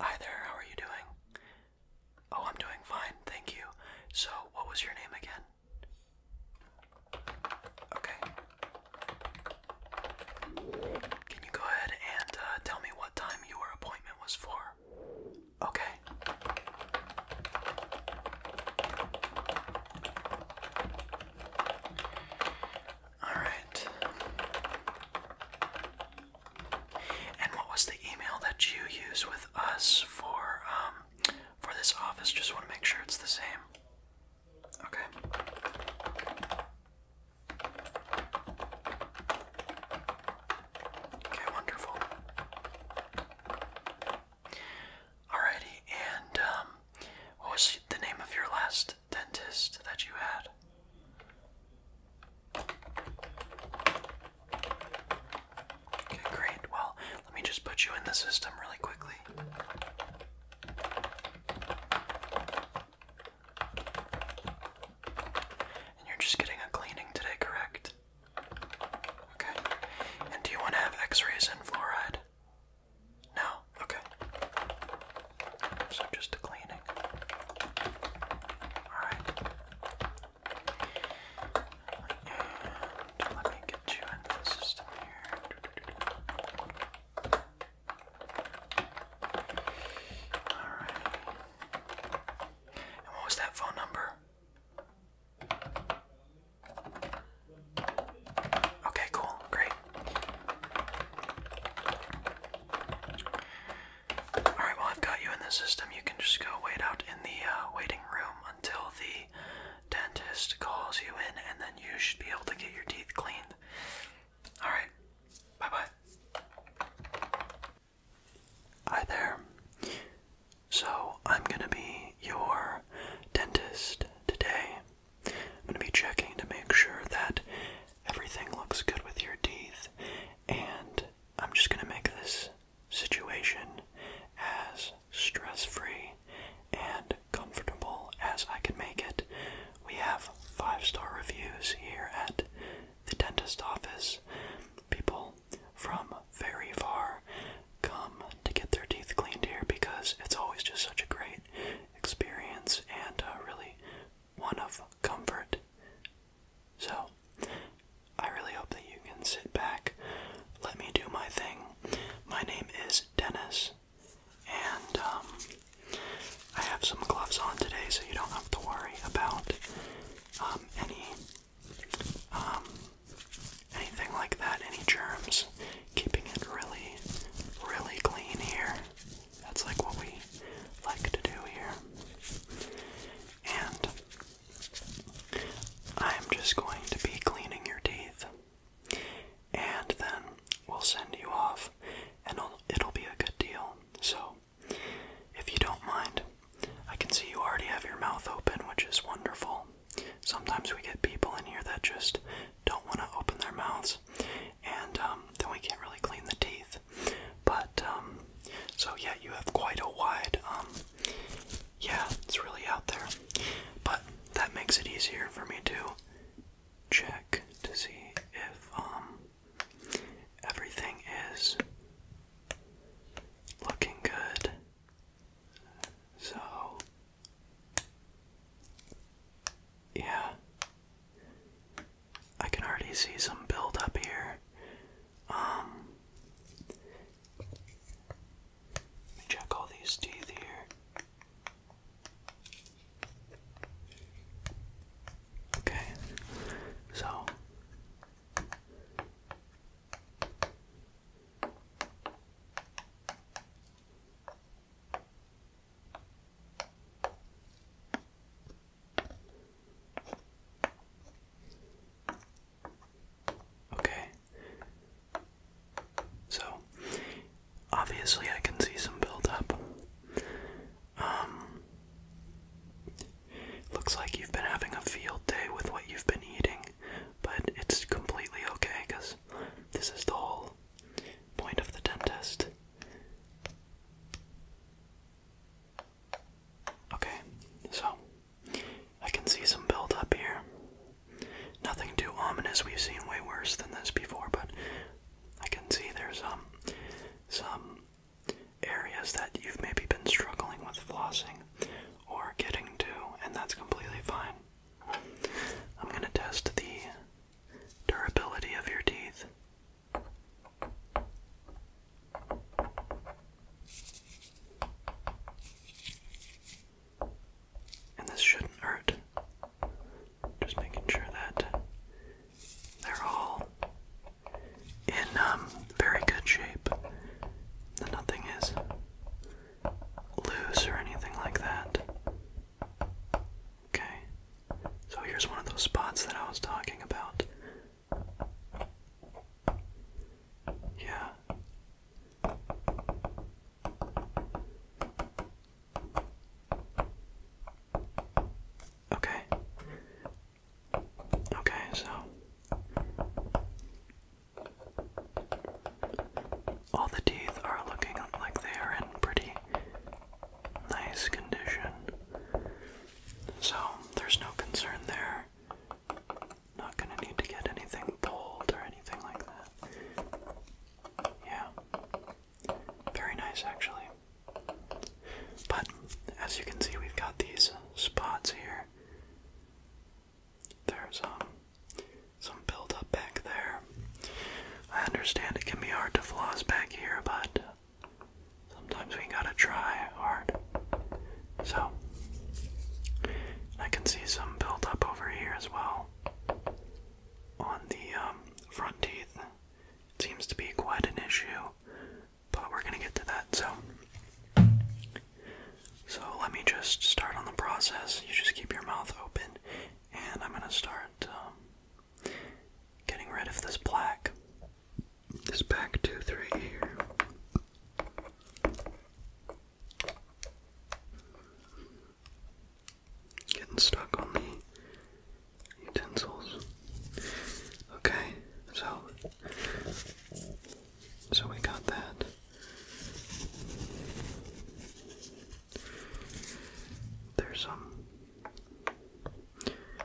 Hi there, how are you doing? Oh, I'm doing fine, thank you. So, what was your name again? Okay. Can you go ahead and uh, tell me what time your appointment was for? Okay. All right. And what was the email that you use with us for um, for this office? Just want to make sure it's the same. Okay. Okay, wonderful. Alrighty, and um, what was the name of your last dentist that you had? great. Well, let me just put you in the system really quickly. And you're just getting a cleaning today, correct? Okay. And do you want to have x rays and fluoride? No? Okay. So just a cleaning. Alright. let me get you into the system here. Alright. And what was that phone number? Okay, cool, great. Alright, well, I've got you in the system. You can just go wait out in the uh, waiting room until the dentist calls you in, and then you should be able to get your teeth cleaned. Alright, bye bye. Hi there. So, I'm gonna be your dentist today. I'm gonna be checking to make sure that everything looks good with your teeth and I'm just going to make this situation as stress free and comfortable as I can make it. We have five star reviews here at the dentist office. People from very far come to get their teeth cleaned here because it's always just such a great experience and uh, really one of comfort so, I really hope that you can sit back, let me do my thing. My name is Dennis, and um, I have some gloves on today, so you don't have to worry about um, any um, anything like that, any germs. Keeping it really, really clean here. That's like what we like to do here. And I'm just going to be cleaning your teeth. And then we'll send you off, and it'll, it'll be a good deal. So, if you don't mind, I can see you already have your mouth open, which is wonderful. Sometimes we get people in here that just don't want to open their mouths, and um, then we can't really clean the teeth. But um, so yeah, you have quite a wide. Um, yeah, it's really out there, but that makes it easier for me to check to see if everything is looking good. So yeah. I can already see some build up here. Um, let me check all these teeth here. Okay, so Okay. So, obviously, I can see some buildup. Um, looks like you've been having a field day with what you've been eating, but it's completely okay because this is the whole point of the dentist. Okay, so I can see some build up here. Nothing too ominous. We've seen way worse than this before, but I can see there's um some areas that you've maybe been struggling with flossing or getting to, and that's completely fine. I'm going to test the durability of your teeth. And this shouldn't hurt. Just making sure that they're all in um, very good shape. That nothing is loose or anything like that. Okay, so here's one of those spots that I was talking about. Yeah. Okay. Okay, so all the teeth are looking like they are in pretty nice condition. So there's no concern there. Not gonna need to get anything pulled or anything like that. Yeah. Very nice actually. But as you can see, we've got these spots here. There's um some buildup back there. I understand it can be hard to floss back here, but sometimes we gotta try hard. So, I can see some build up over here as well on the um, front teeth. seems to be quite an issue, but we're gonna get to that. So, so let me just start on the process. You just keep your mouth open, and I'm gonna start um, Getting rid of this black. This back tooth right here. Getting stuck on the utensils. Okay, so so we got that. There's some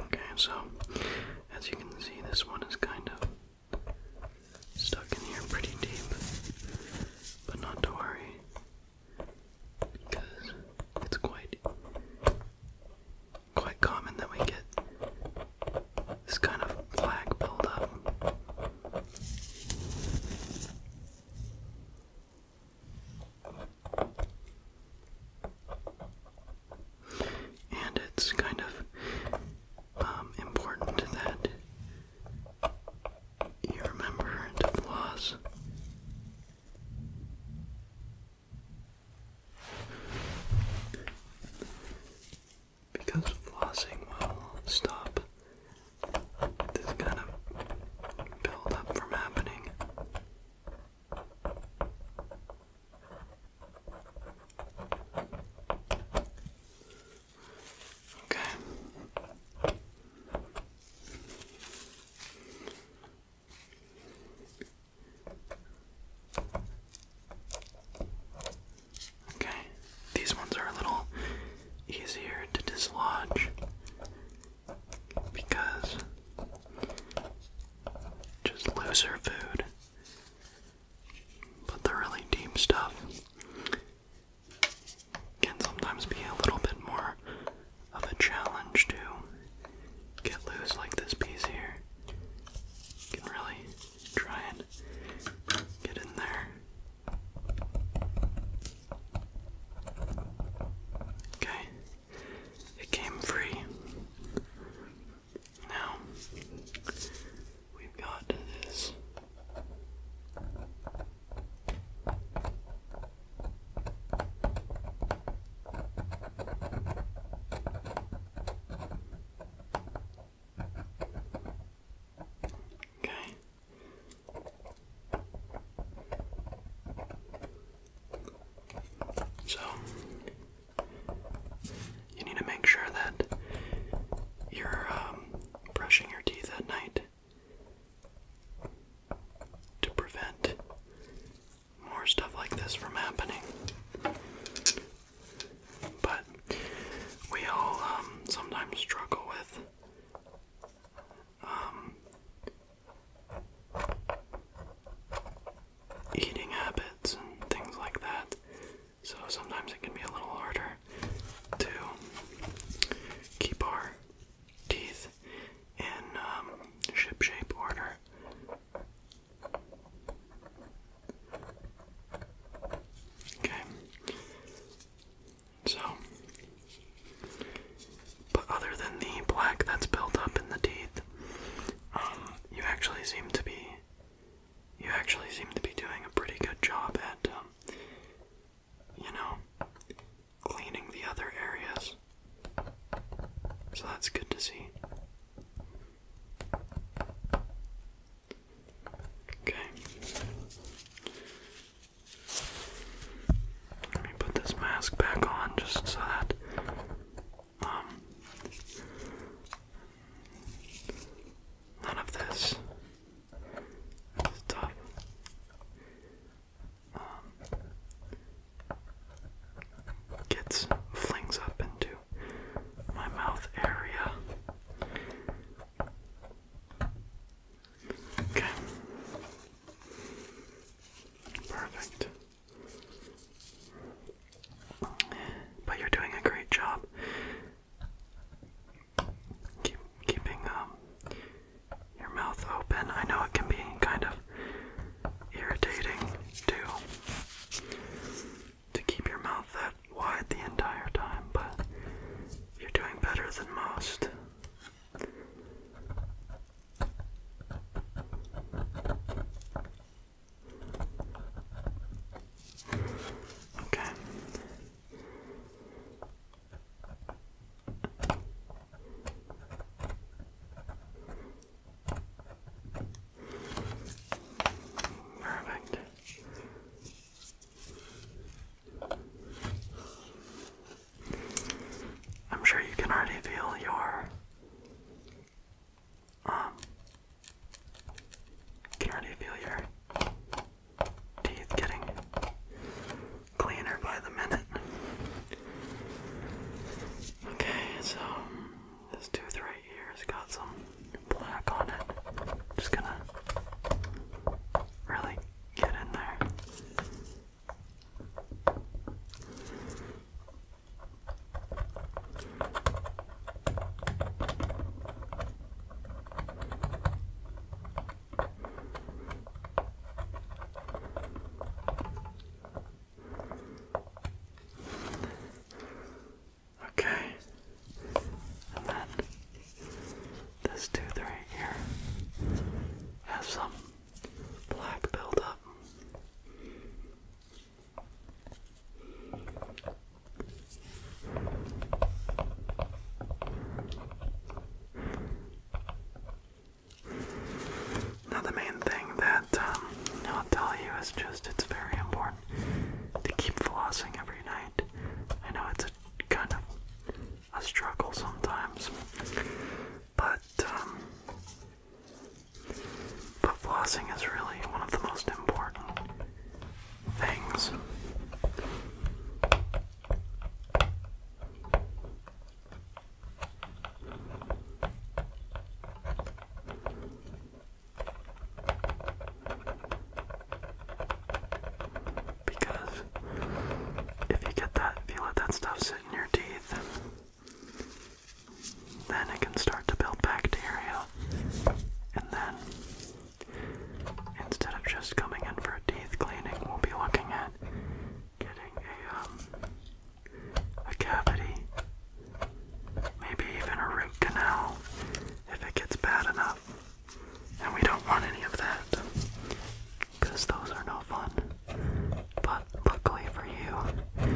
Okay, so as you can see, this one is kind of stuck in here pretty deep, but not to worry because it's quite quite common that we get this kind of black buildup and it's kind of um, important that you remember the floss because flossing will stop this kind of build from happening. Okay. Okay, these ones are a little easier to dislodge because just looser food, but the really deep stuff can sometimes be a little bit more of a challenge to get loose like this piece here. can really try and get in there. Okay, it came free. Now we've got this. Okay. So, you need to make sure that you're um, brushing your teeth at night to prevent more stuff like this from happening. But we all um, sometimes struggle with um, eating habits and things like that. So sometimes it can be a little harder to keep our teeth in um, shipshape order. Okay. So, but other than the black that's built up in the teeth, um, you actually seem to be, you actually seem to be doing a pretty good job at, um, you know, cleaning the other areas. So that's good to see. Okay. Let me put this mask back on just so that um, none of this is um, gets flings up into my mouth area. Okay. Perfect. But you're doing a great job. Keep keeping um your mouth open. I know it can be kind of irritating too to keep your mouth that wide the entire time, but you're doing better than most. Okay. Perfect. I'm sure you can already feel your um can already feel your teeth getting cleaner by the minute. Okay, so this tooth right here has got some black on it. Just gonna really get in there. Okay, and then this tooth right here has some black buildup. Now, the main thing that um, I'll tell you is just it's very important to keep flossing every night. I know it's a kind of a struggle sometimes. But um, but flossing is really one of the most important things. Because if you get that, if you let that stuff sit in your teeth, then it can start to build bacteria. And then, instead of just coming in for a teeth cleaning, we'll be looking at getting a, um, a cavity, maybe even a root canal if it gets bad enough. And we don't want any of that those are no fun. But luckily for you,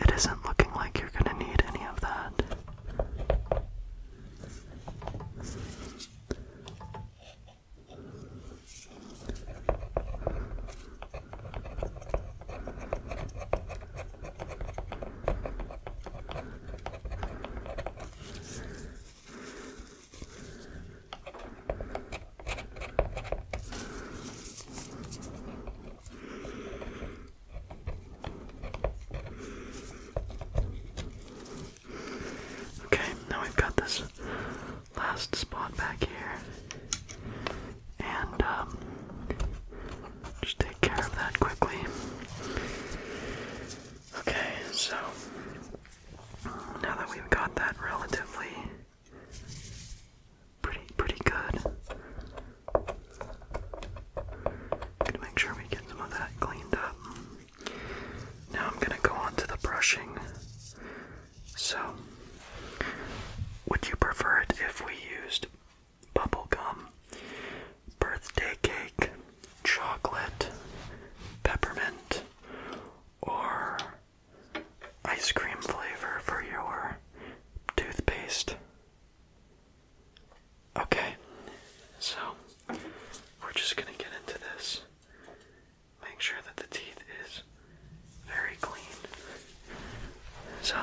it isn't looking like you're going to need any of that. Okay, now we've got this last spot back here. And um, just take care of that quickly. Okay, so now that we've got that relatively pretty pretty good. Gonna make sure we get some of that cleaned up. Now I'm gonna go on the brushing. So would you prefer it if we used bubble gum birthday cake, chocolate, peppermint, or ice cream flavor for your toothpaste. Okay, so we're just gonna get into this. Make sure that the teeth is very clean. So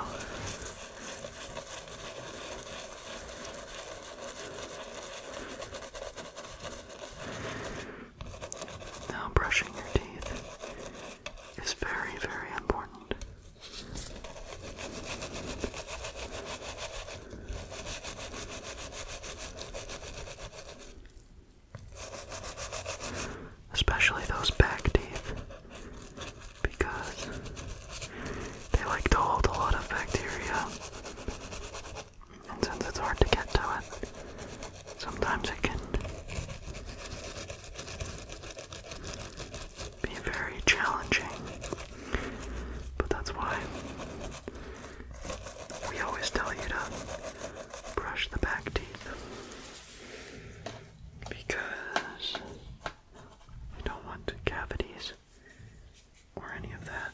now, brushing your teeth is very, very important. Especially those back teeth, because they like to hold a lot of bacteria. And since it's hard to get to it, sometimes it can be very challenging. But that's why we always tell you to brush the back teeth. Because you don't want cavities or any of that.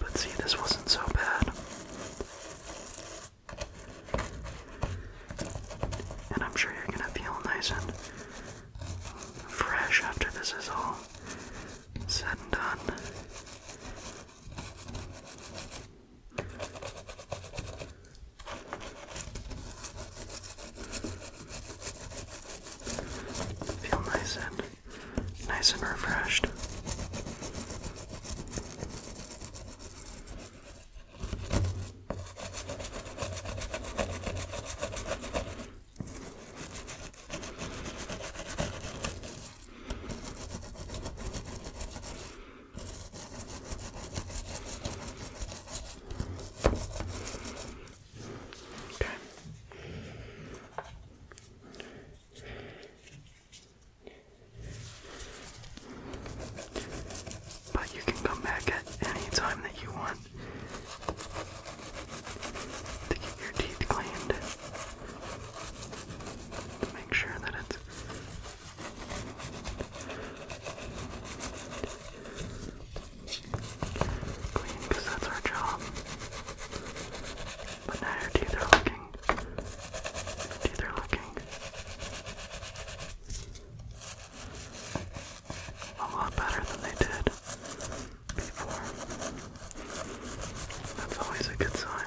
But see, this wasn't so bad. And I'm sure you're gonna feel nice and fresh after this is all said and done. Feel nice and nice and refreshed. Okay. But you can come back at any time that you want to keep your teeth cleaned make sure that it's clean that's our job. But now your teeth are looking. teeth are looking a lot better than they did before. That's always a good sign.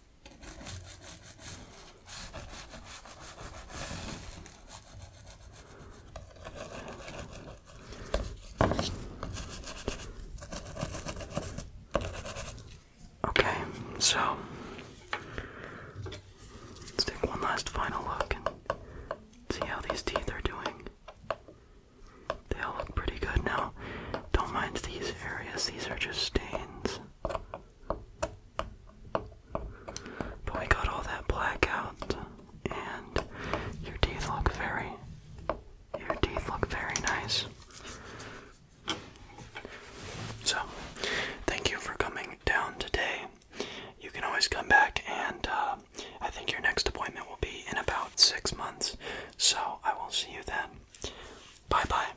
Okay, so let's take one last final look and see how these teeth are doing. They all look pretty good now. Don't mind these areas, these are just stains. But we got all that black out, and your teeth look very, your teeth look very nice. So, thank you for coming down today. You can always come back, and uh, I think your next appointment will be in about six months. So, I will see you then. Bye bye.